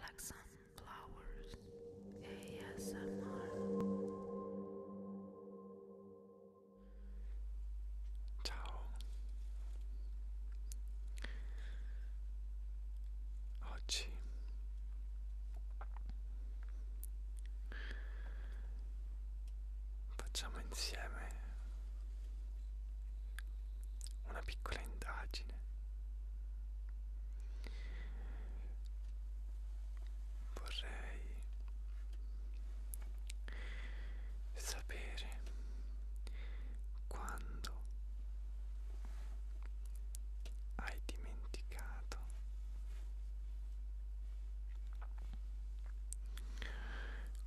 like sunflowers ASMR Ciao Oggi facciamo insieme una piccola indagine. Vorrei sapere quando hai dimenticato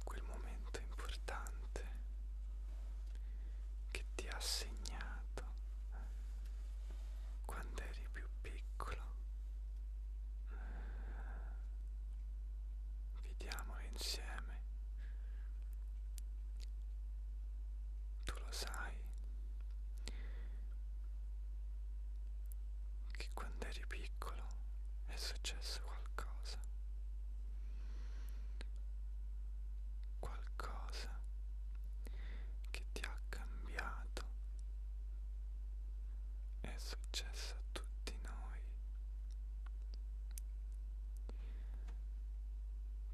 quel momento molto importante che ti ha segnato quando eri più piccolo. Vediamolo insieme. Tu lo sai che quando eri piccolo è successo qualcosa qualcosa che ti ha cambiato è successo a tutti noi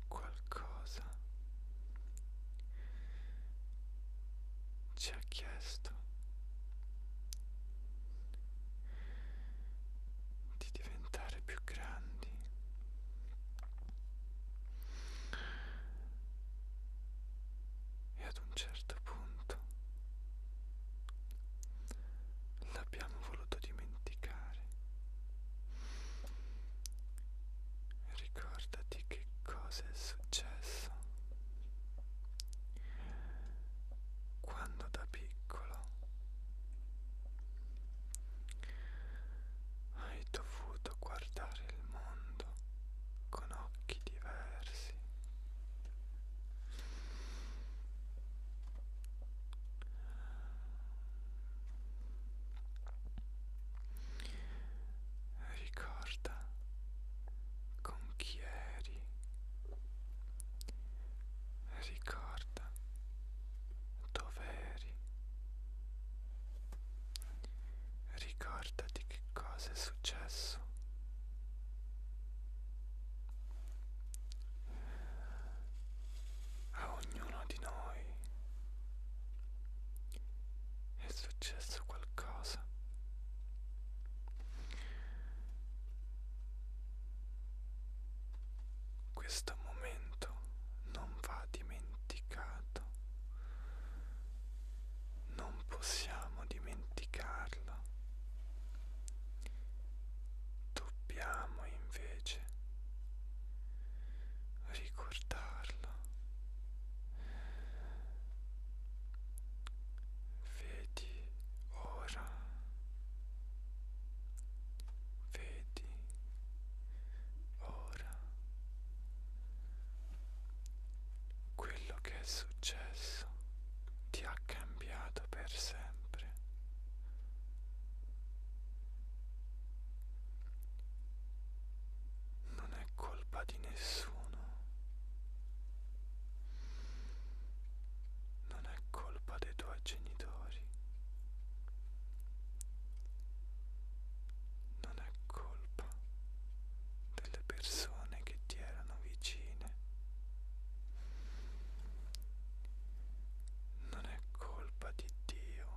qualcosa ci ha chiesto di diventare più grandi. E ad un certo punto l'abbiamo voluto dimenticare. Ricordati che cosa è successo quando da piccolo hai dovuto guardare il mondo con occhi diversi. Ricorda con chi eri, ricorda guarda dove eri ricordati che cosa è successo a ognuno di noi è successo qualcosa questo momento non va dimenticato, non possiamo dimenticarlo, dobbiamo invece ricordarlo. Vedi ora vedi ora quello che è successo ti ha cambiato per sempre non è colpa di nessuno non è colpa dei tuoi genitori, non è colpa delle persone che ti erano vicine, non è colpa di Dio,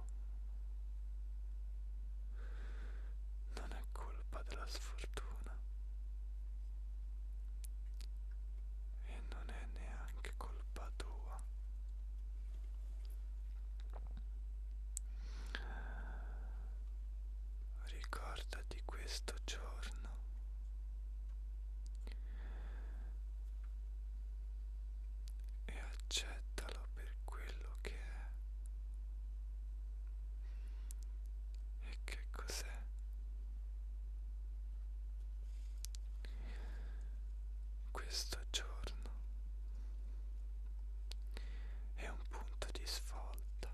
non è colpa della sfortuna e non è neanche colpa tua ricordati questo giorno e accettalo per quello che è e che cos'è? Questo giorno è un punto di svolta,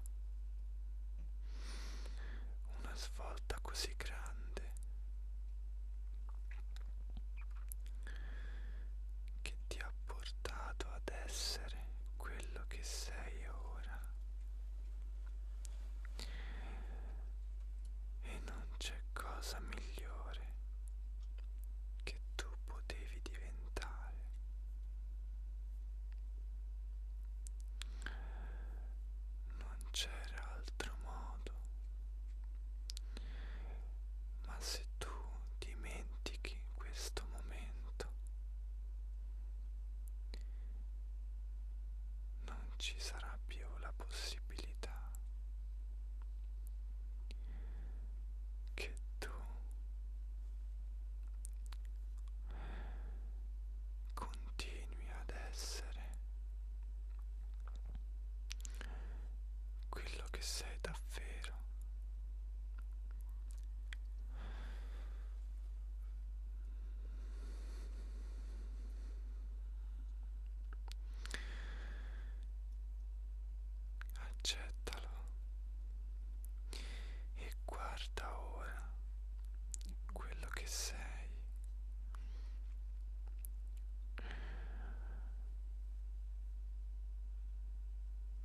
una svolta così grande che ti ha portato ad essere quello che sei ora. E non c'è cosa migliore che tu potevi diventare. Non c'era altro modo. Ma se tu dimentichi questo momento, non ci sarà più la possibilità che tu continui ad essere quello che sei davvero Accettalo e guarda ora quello che sei.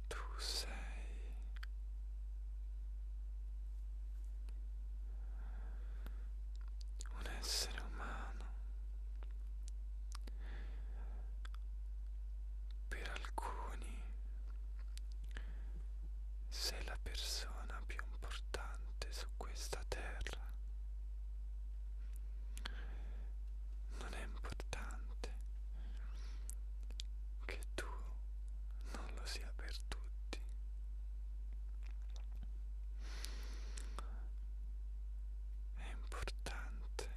Tu sei un essere umano per alcuni sei la persona più importante su questa terra non è importante che tu non lo sia per tutti. È importante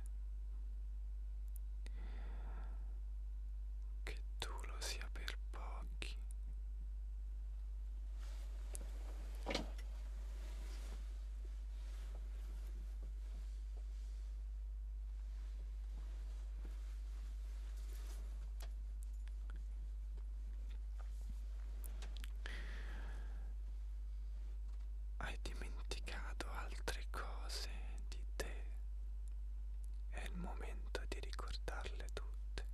che tu lo sia per pochi. Hai dimenticato altre cose di te. È il momento di ricordarle tutte.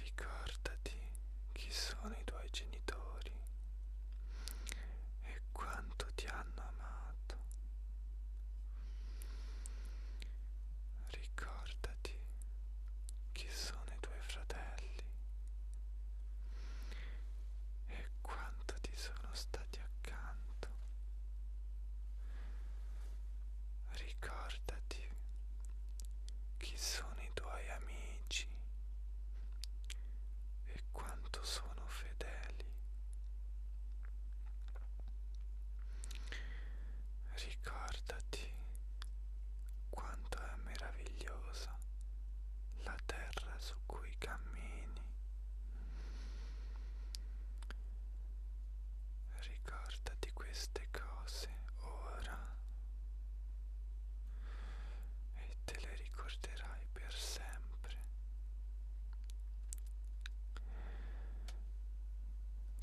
Ricordati chi sono i tuoi genitori e quanto ti hanno amato. Ricordati chi sono i tuoi fratelli e quanto ti sono stati accanto. Ricordati chi sono i tuoi amici e quanto sono fedeli. Ricordati quanto è meravigliosa la terra su cui cammini. Ricordati queste cose ora e te le ricorderai per sempre.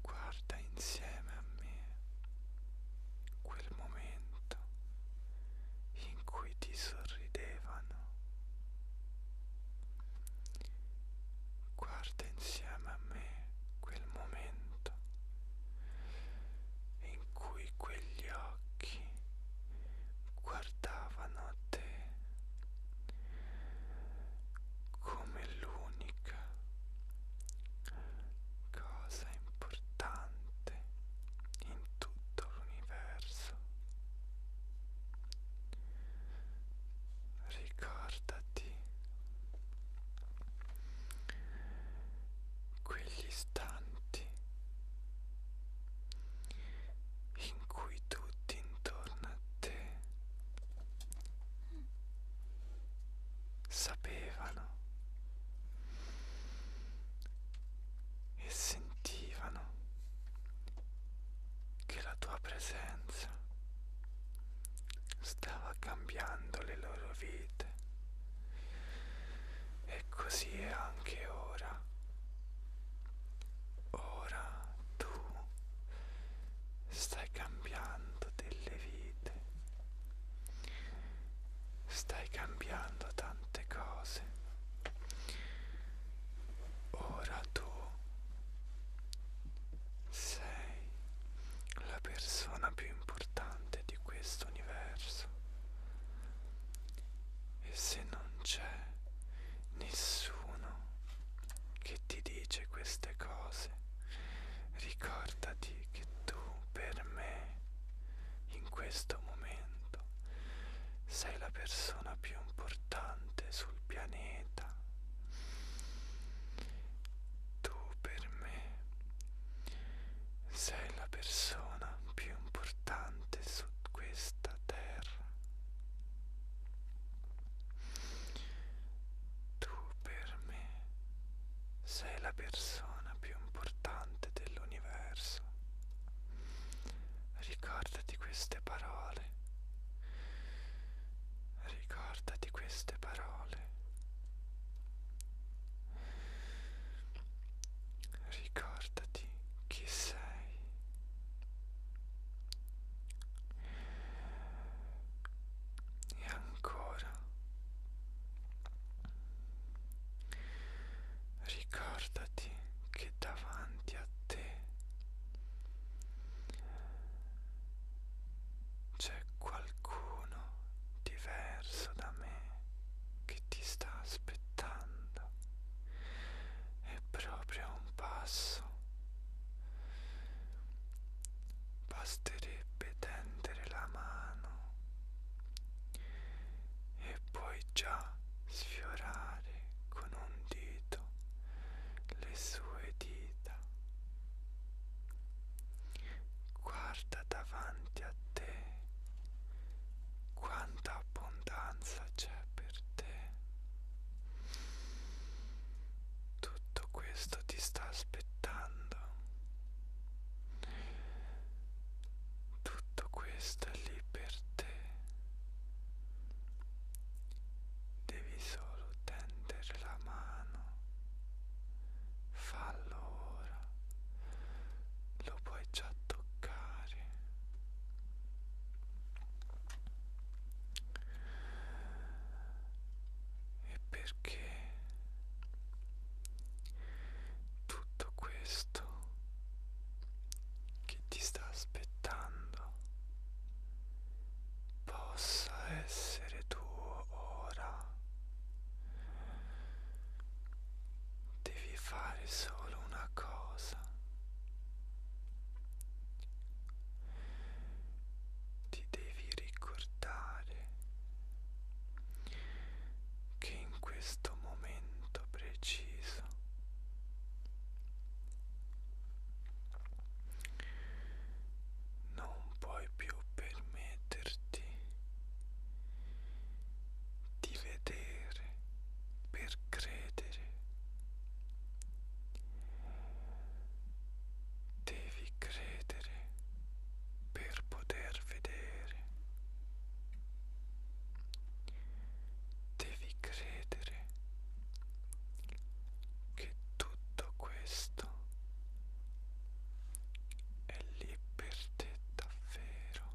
Guarda insieme a me quel momento in cui ti sorridevano. Guarda insieme a me quel momento in cui quegli occhi occhi guardavano a te come l'unica cosa importante in tutto l'universo. Ricordati quegli istanti in cui tutti intorno a te sapevano e sentivano che la tua presenza stava cambiando le loro vite e così è anche ora. Ora tu stai cambiando delle vite, stai cambiando tante cose. Ora tu sei la persona più importante di questo universo. E se non c'è nessuno che ti dice queste cose, ricordati che tu per me in questo momento sei la persona più importante sul pianeta. Tu per me sei la persona più importante gigante su questa terra. Tu per me sei la persona più importante dell'universo. Ricordati queste parole. Ricordati queste parole ricordati chi sei e ancora ricordati che davanti a te c'è qualcuno diverso da me che che ti sta aspettando è proprio un passo. Basterebbe tendere la mano e puoi già sfiorare con un dito le sue dita. Guarda vita davanti a te, quanta abbondanza c'è per te. Tutto questo ti sta aspettando, tutto questo è lì per te. Devi solo tendere la mano fallo ora, lo puoi già toccare. E perché tutto questo che ti sta aspettando possa essere tuo ora Devi fare solo una cosa. Ti devi ricordare che in questo momento preciso non puoi più permetterti di vedere per credere. Devi credere per poter vedere. Devi credere che tutto questo è lì per te davvero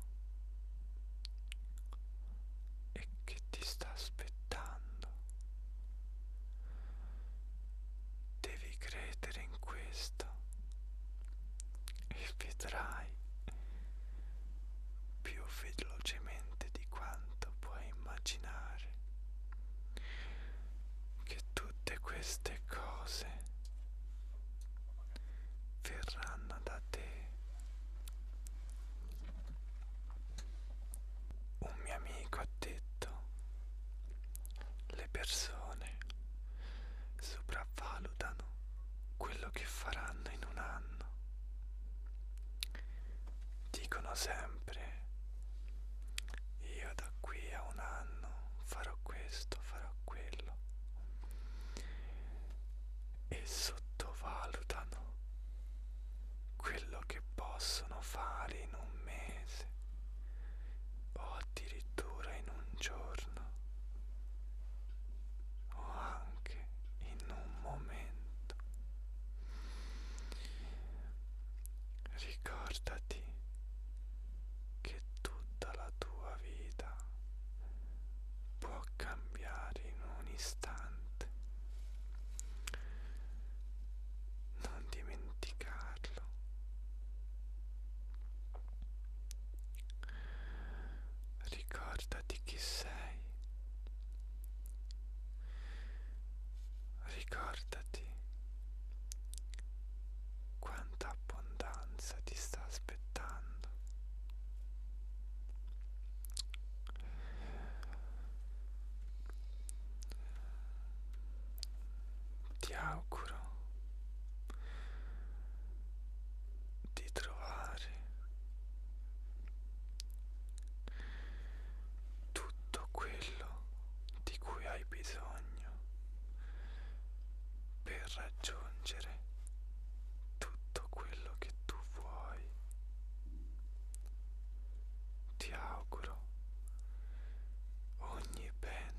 e che ti sta aspettando. Devi credere in questo e vedrai più velocemente di quanto puoi immaginare che tutte queste cose verranno da te. Un mio amico ha detto, le persone sopravvalutano quello che faranno in un anno. Dicono sempre, io da qui a un anno farò questo, farò quello e sottovalutano quello che possono fare in un mese o addirittura in un giorno o anche in un momento ricordati che tutta la tua vita può cambiare in un istante. Non dimenticarlo. Ricordati chi sei. Ricordati quanta abbondanza ti sta aspettando. Ti auguro di trovare tutto quello di cui hai bisogno per raggiungere tutto quello che tu vuoi. Ti auguro ogni bene.